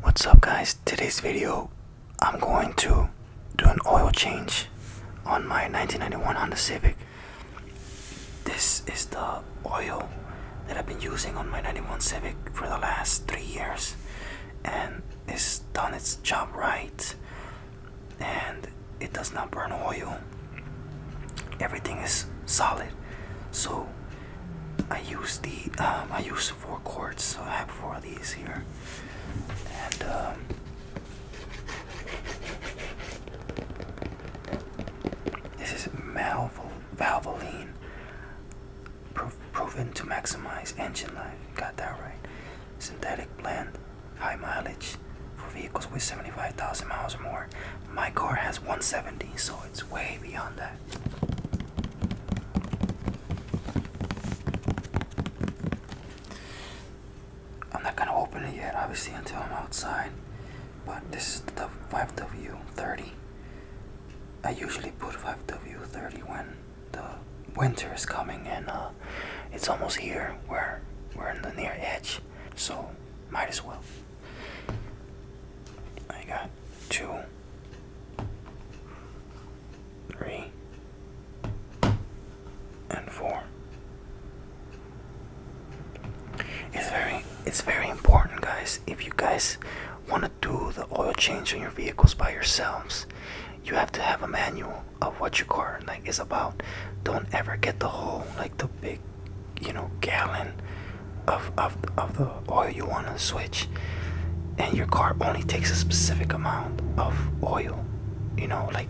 What's up guys, today's video I'm going to do an oil change on my 1991 Honda Civic. This is the oil that I've been using on my 91 Civic for the last three years and it's done its job right and it does not burn oil. Everything is solid so I use the um, I use four quarts, so I have four of these here, and um, this is malvol valvoline, proven to maximize engine life. Got that right. Synthetic blend, high mileage for vehicles with 75,000 miles or more. My car has 170, so it's way beyond that. I'm not gonna open it yet, obviously, until I'm outside. But this is the 5W30. I usually put 5W30 when the winter is coming, and uh, it's almost here. Where we're in the near edge, so might as well. I got two three, and four. It's very it's very important guys if you guys want to do the oil change on your vehicles by yourselves you have to have a manual of what your car like is about don't ever get the whole like the big you know gallon of, of, of the oil you want to switch and your car only takes a specific amount of oil you know like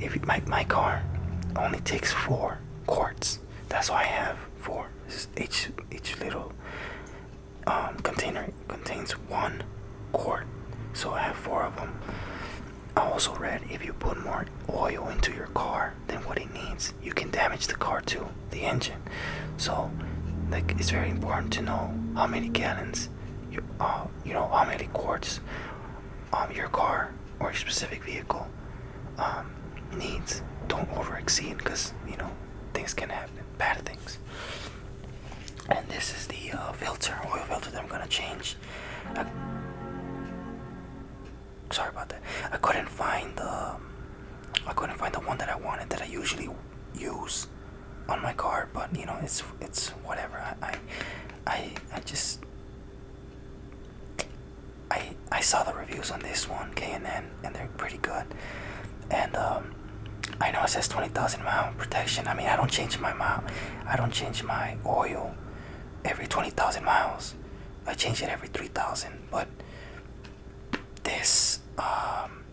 if my, my car only takes four quarts that's why i have four each each little um, container contains one quart so i have four of them i also read if you put more oil into your car than what it needs you can damage the car too, the engine. So, like, it's very important to know how many gallons, you, uh, you know, how many quarts um, your car or your specific vehicle um, needs. Don't overexceed, because, you know, things can happen, bad things. And this is the uh, filter, oil filter that I'm gonna change. sorry about that. I couldn't find the um, I couldn't find the one that I wanted that I usually use on my car, but you know it's it's whatever. I I I just I I saw the reviews on this one K&N and they're pretty good, and um, I know it says twenty thousand mile protection. I mean I don't change my mile, I don't change my oil every twenty thousand miles. I change it every three thousand, but this um,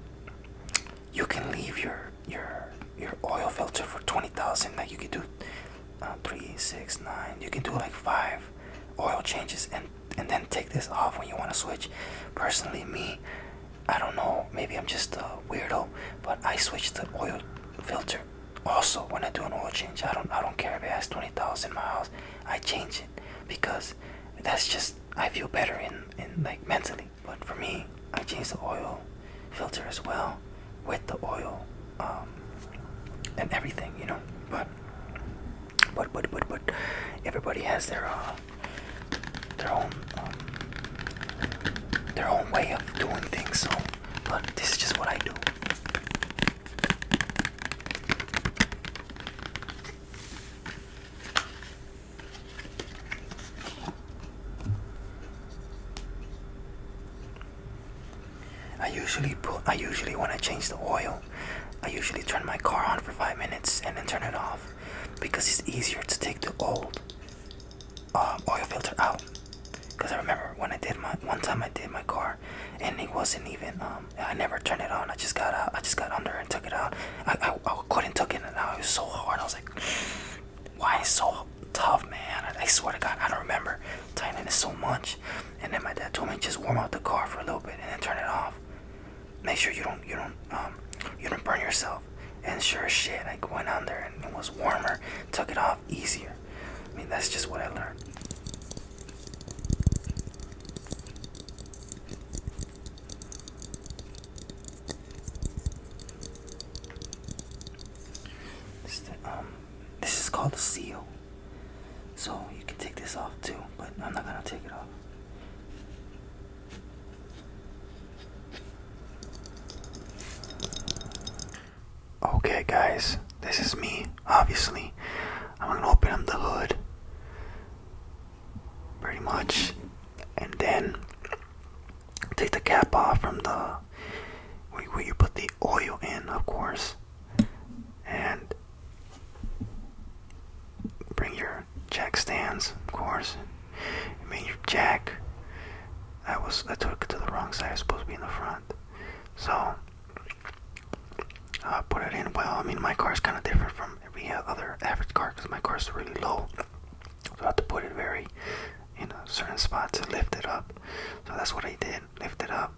you can leave your your your oil filter for 20,000 That you can do uh, three six nine you can do like five oil changes and and then take this off when you want to switch personally me i don't know maybe i'm just a weirdo but i switch the oil filter also when i do an oil change i don't i don't care if it has 20,000 miles i change it because that's just I feel better in in like mentally. But for me, I change the oil filter as well with the oil um, and everything, you know. But but but but but everybody has their uh, their own um, their own way of doing things. So, but this is just what I do. I usually put, I usually when I change the oil, I usually turn my car on for five minutes and then turn it off because it's easier to take the old um, oil filter out. Because I remember when I did my one time I did my car, and it wasn't even um, i never turned it on i just got i just got under and took it out i couldn't took it out it was so hard i was like why is so tough man I, swear to god i don't remember tightening it so much and then my dad told me just warm up the car for a little bit and then turn it off make sure you don't you don't um, you don't burn yourself and sure as shit i went under and it was warmer took it off easier i mean that's just what i learned this, um, this is called a seal. So you can take this off too, but I'm not gonna take it off. Okay, guys, this is me obviously. I'm gonna open up the hood pretty much and then take the cap off from the where you put the oil in of course and bring your jack stands of course I mean your jack I was I took it to the wrong side I was supposed to be in the front so uh, put it in well. I mean, my car is kind of different from every other average car because my car is really low, so I have to put it very in a certain spot to lift it up. So that's what I did, lift it up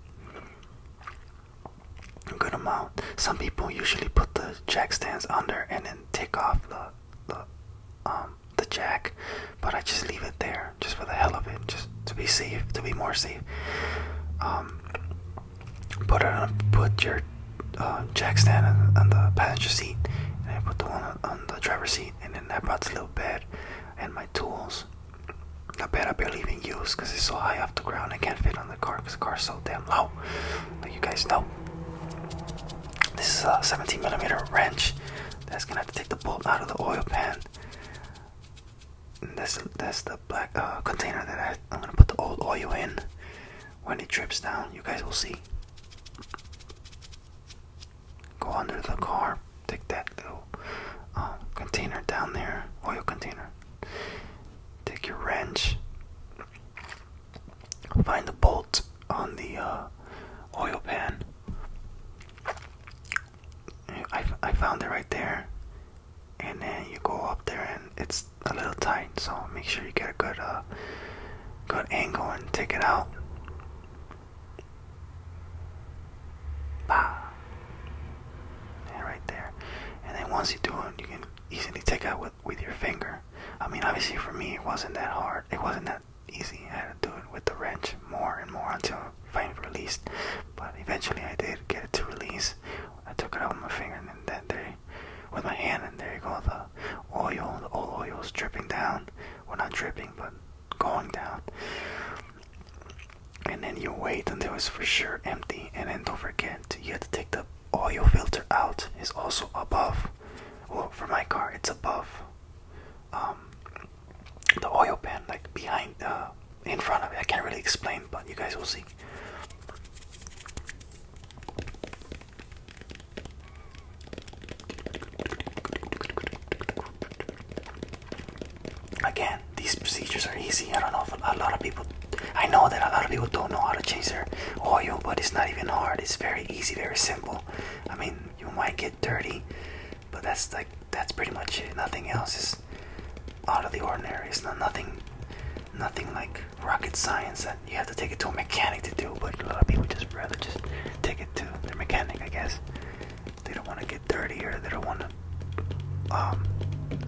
a good amount. Some people usually put the jack stands under and then take off the the um, the jack, but I just leave it there just for the hell of it, just to be safe, to be more safe. Um, put it on, put your uh, jack stand on, the passenger seat, and I put the one on, the driver's seat, and then I brought the little bed and my tools. The bed I barely even use because it's so high off the ground I can't fit on the car because the car's so damn low. Like you guys know. This is a 17 millimeter wrench that's gonna have to take the bolt out of the oil pan. That's that's the black uh, container that I, am gonna put the old oil in. When it drips down, you guys will see. Go under the car, take that little um, container down there, oil container. Take your wrench. Find the bolt on the uh, oil pan. I, I found it right there and then you go up there and it's a little tight so make sure you get a good uh, good angle and take it out bah. and right there and then once you do it you can easily take out with with your finger i mean obviously for me it wasn't that hard it wasn't that easy i had to do it with the wrench more and more until finally released but eventually i did get it to release I took it out with my finger and then that there, with my hand, and there you go. The oil, the old oil is dripping down. Well, not dripping, but going down. And then you wait until it's for sure empty. And then don't forget, you have to take the oil filter out. It's also above. Well, for my car, it's above um, the oil pan, like behind the uh, in front of it. I can't really explain, but you guys will see. Again, these procedures are easy. I don't know if a lot of people, I know that a lot of people don't know how to change their oil, but it's not even hard. It's very easy, very simple. I mean, you might get dirty, but that's like that's pretty much it. Nothing else is out of the ordinary. It's not nothing, nothing like rocket science that you have to take it to a mechanic to do. But a lot of people just rather just take it to their mechanic, I guess. They don't want to get dirty or they don't want to um,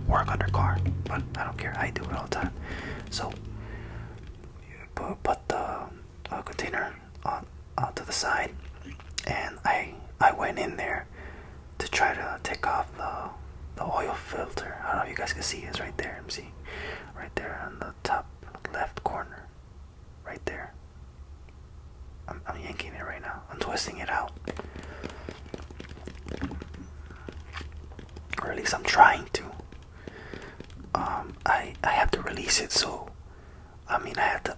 work on their car. But I don't care. I do it all the time. So put, put the uh, container on to the side, and I I went in there to try to take off the the oil filter. I don't know if you guys can see it's right there. MC, right there on the top left corner, right there. I'm, yanking it right now. I'm twisting it out, or at least I'm trying to. Um, I I have to release it, so I mean I have to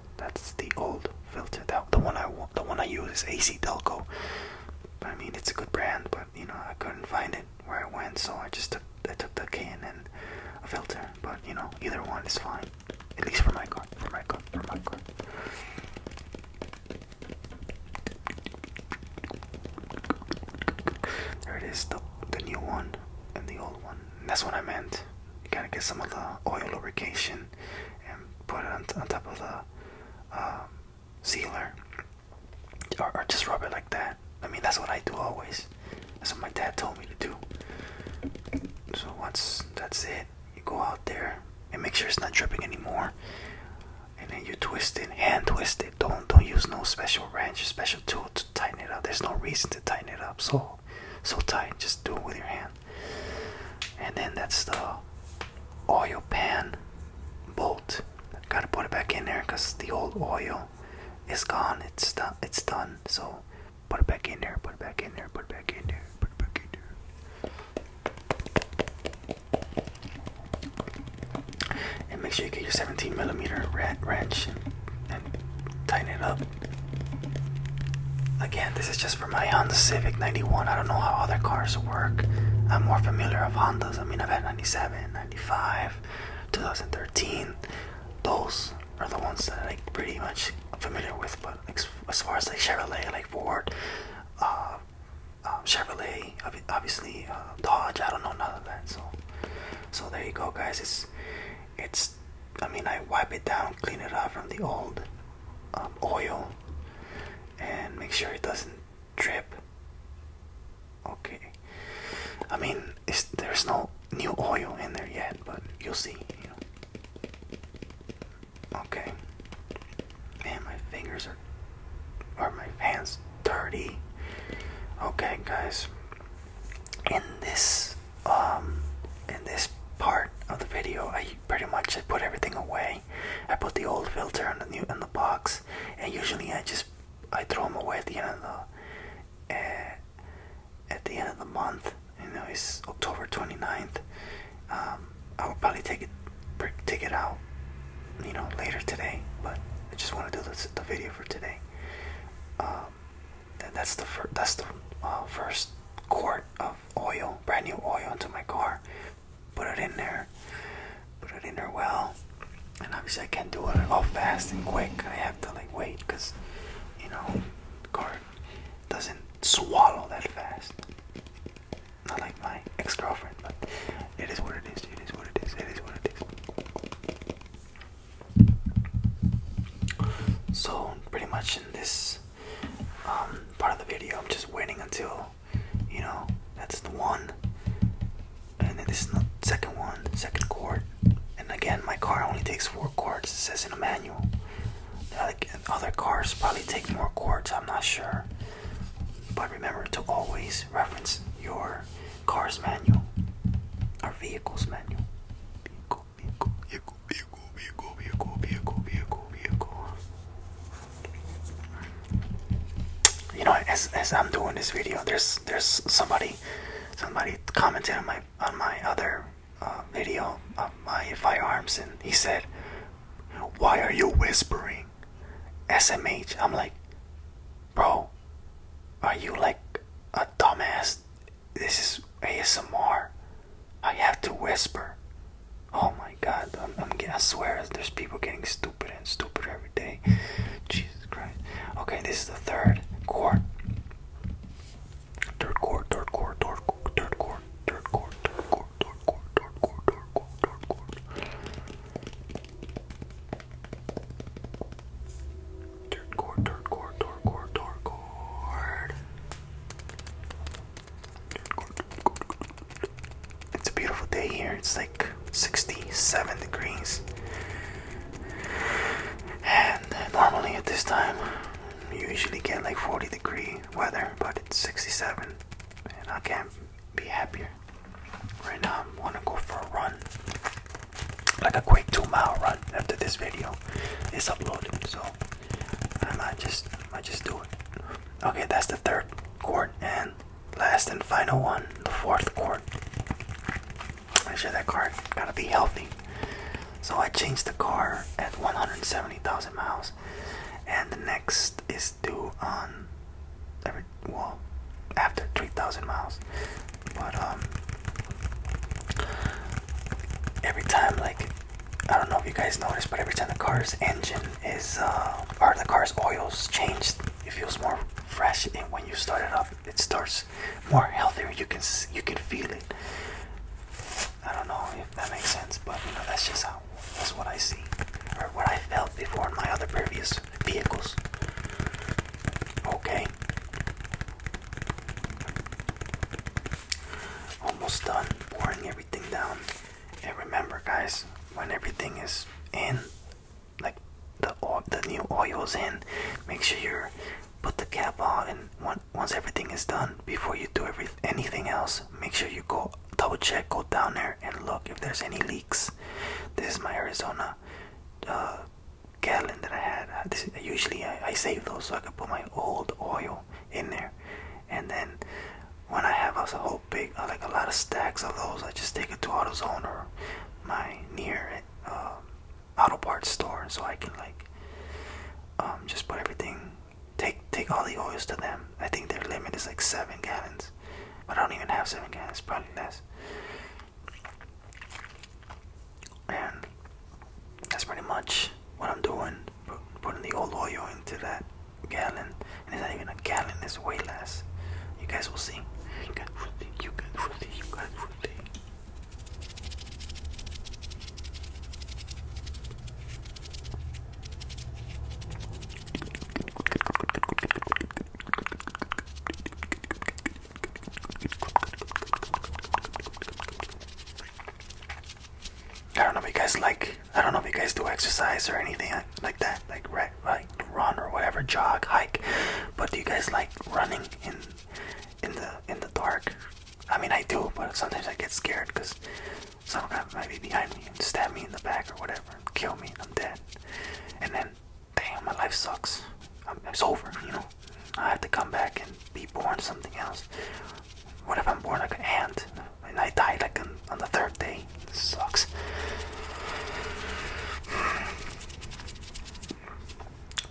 that's the old filter. That the one I the one I use is AC Delco. I mean, it's a good brand, but you know, I couldn't find it where I went, so I just took I took the can and a filter. But you know, either one is fine. At least for my car. For my car. For my car. There it is, the the new one and the old one. that's what I meant. You gotta get some of the oil lubrication and put it on, top of the um, sealer or, or just rub it like that i mean that's what i do always that's what my dad told me to do so once that's it you go out there and make sure it's not dripping anymore and then you twist it hand twist it don't don't use no special wrench special tool to tighten it up there's no reason to tighten it up so so tight just do it with your hand and then that's the oil pan bolt. Gotta put it back in there because the old oil is gone. It's done. It's done. So put it back in there. Put it back in there. Put it back in there. Put it back in there. And make sure you get your 17 millimeter wrench and tighten it up. Again, this is just for my Honda Civic 91. I don't know how other cars work. I'm more familiar of Hondas. I mean, I've had 97, 95, 2013. Those are the ones that I'm like, pretty much familiar with. But as far as like Chevrolet, like Ford, uh, um, Chevrolet, obviously uh, Dodge. I don't know none of that. So, so there you go, guys. It's it's I mean I wipe it down, clean it up from the old um, oil, and make sure it doesn't drip. Okay, I mean there's no new oil in there yet, but you'll see. Okay, man, my fingers are or my hands dirty. Okay, guys, in this um, in this part of the video, I pretty much I put everything away. I put the old filter in the new in the box, and usually I just I throw them away at the end of the eh, at the end of the month. You know, it's October 29th. Um, I will probably take it take it out, you know, later today. But I just want to do this, the video for today. Um, that's the first. That's the uh, first quart of oil, brand new oil, into my car. Put it in there. Put it in there well. And obviously, I can't do it all fast and quick. I have to like wait because, you know, the car doesn't swallow that fast. Not like my ex-girlfriend, but it is what it is. It is what it is. It is what it is. So pretty much in this um, part of the video, I'm just waiting until you know that's the one, and then this is the second one, second chord. And again, my car only takes four chords. It says in the manual. Like other cars probably take more chords. I'm not sure. But remember to always reference your car's manual or vehicle's manual vehicle, vehicle, vehicle, vehicle, vehicle, vehicle, You know, as as I'm doing this video, there's there's somebody somebody commented on my on my other uh, video of my firearms, and he said, "Why are you whispering?" SMH. I'm like, bro, are you like a dumbass this is ASMR. I have to whisper. Oh my God! i swear, there's people getting stupid and stupider every day. Jesus Christ. Okay, this is the third chord. Third chord. Third chord. Third chord. Third chord. Third chord. Third chord. Third chord. Third chord. Third chord. Third chord. It's a beautiful day here. It's like 67 degrees. And normally at this time, you usually get like 40 degree weather, but it's 67. And I can't be happier. Right now, I want to go for a run like a quick two mile run after this video is uploaded. So I might just I just do it. Okay, that's the third chord and last and final one, the fourth chord. Make sure that car gotta be healthy. So I changed the car at 170,000 miles, and the next is due on every well after 3,000 miles. But um, every time like I don't know if you guys noticed, but every time the car's engine is uh, or the car's oil's changed, it feels more fresh. And when you start it up, it starts more healthier. You can you can feel it. I don't know if that makes sense, but you know that's just how that's what I see or what I felt before in my other previous vehicles. Okay. Almost done pouring everything down. And remember, guys, when everything is in, like the oil, the new oil is in, make sure you put the cap on. And once everything is done, before you do every, anything else, make sure you go double check, go down there, and look if there's any leaks. This is my Arizona uh, Gatlin that I had. Uh, usually I, save those so I can put my old oil in there. And then when I have a whole big, uh, like a lot of stacks of those, I just take it to AutoZone or my near uh, auto parts store so I can like um, just put everything, take take all the oils to them. I think their limit is like seven gallons, but I don't even have seven gallons, probably less. And that's pretty much what I'm doing. Putting the old oil into that gallon. And it's not even a gallon, it's way less. You guys will see. You guys will see. I don't know if you guys like, I don't know if you guys do exercise or anything like that, like run or whatever, jog, hike. But do you guys like running in in the in the dark? I mean, I do, but sometimes I get scared because some guy might be behind me and stab me in the back or whatever, and kill me, and I'm dead. And then damn, my life sucks. I'm, it's over, you know. I have to come back and be born something else. What if I'm born like an ant and I die like on the third day? sucks.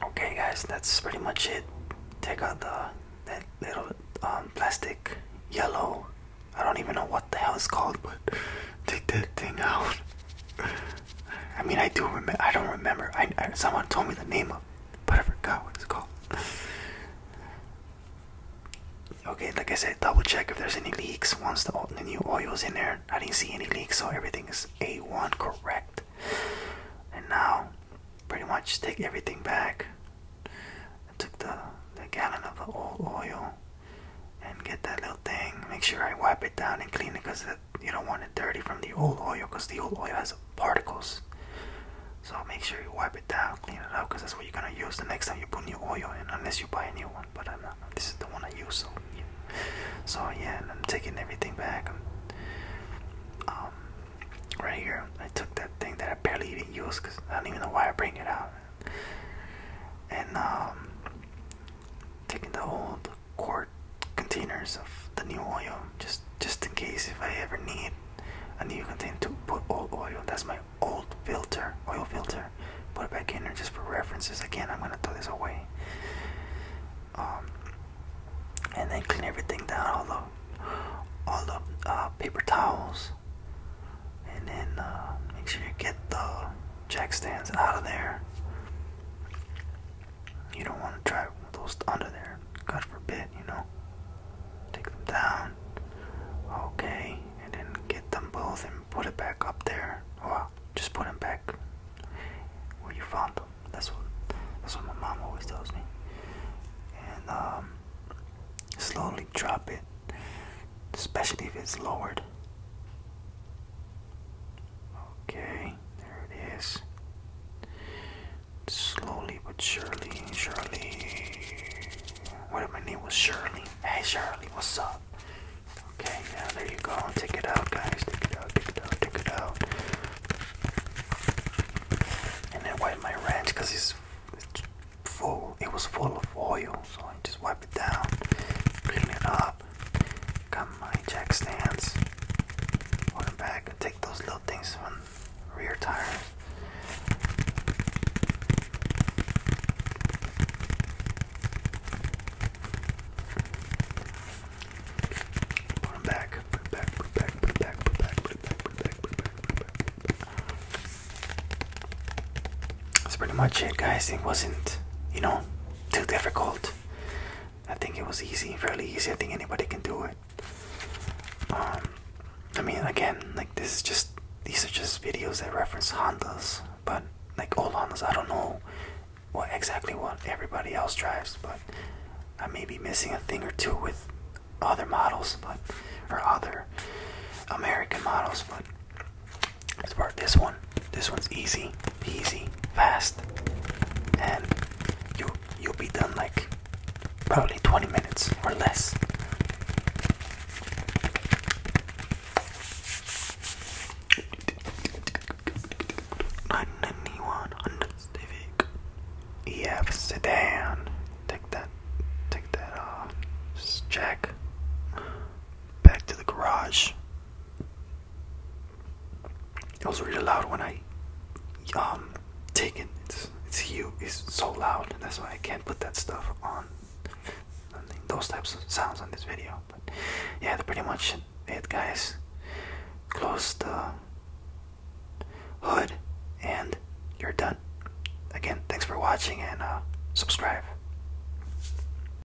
Okay, guys, that's pretty much it. Take out the that little um, plastic yellow. I don't even know what the hell it's called, but take that thing out. I mean, I do remember. I don't remember. I, someone told me the name of, but I forgot what it's called. okay, like I said, double check if there's any leaks. Once the, new oil's in there, I didn't see any leaks, so everything is A1 correct. And now, pretty much take everything back. I took the the gallon of the old oil and get that little thing. Make sure I wipe it down and clean it because the you don't want it dirty from the old oil because the old oil has particles. So make sure you wipe it down, clean it up, because that's what you're gonna use the next time you put new oil in, unless you buy a new one. But This is the one I use. So, yeah. so yeah, I'm taking everything back. Um, right here, I took that thing that I barely even used, cause I don't even know why I bring it out. And um, taking the old quart containers of the new oil just just in case if I ever need a new container to put old oil. That's my old filter, oil filter. Put it back in there just for references. Again, I'm gonna throw this away. Um, and then clean everything down, all the all the uh, paper towels, and then uh, make sure you get the jack stands out of there. You don't want to try those under there. God forbid, you know. Take them down. Okay, and then get them both and put it back up there. Well, just put them back where you found them. That's what that's what my mom always tells me. And um, slowly drop it, especially if it's lowered. Okay, there it is. Slowly but surely, Shirley. What if my name was Shirley? Hey Shirley, what's up? Okay, now there you go. Take it out, guys. Take it out, take it out, take it out. And then wipe my wrench because it's, full. It was full of oil, so I just wipe it down. Clean it up. Got my jack stands. Welcome back. Take those little things from rear tires. Put them back, put it back, back, back, back, back, back, back, back. That's pretty much it, guys. It wasn't, you know, too difficult. I think it was easy, fairly easy. I think anybody can do it. Um, I mean, again, like this is just these are just videos that reference Hondas, but like all Hondas, I don't know what exactly what everybody else drives, but I may be missing a thing or two with other models, but or other American models, but as far this one, this one's easy, easy, fast, and you you'll be done like probably 20 minutes or less. Nine ninety one hundred civic EF sedan. Take that take that off. Uh, Just check. Back to the garage. I was really loud when I um take it. It's it's you. It's so loud, that's why I can't put that stuff on. those types of sounds on this video. But yeah, that's pretty much it, guys. Close the hood, and you're done. Again, thanks for watching, and uh, subscribe.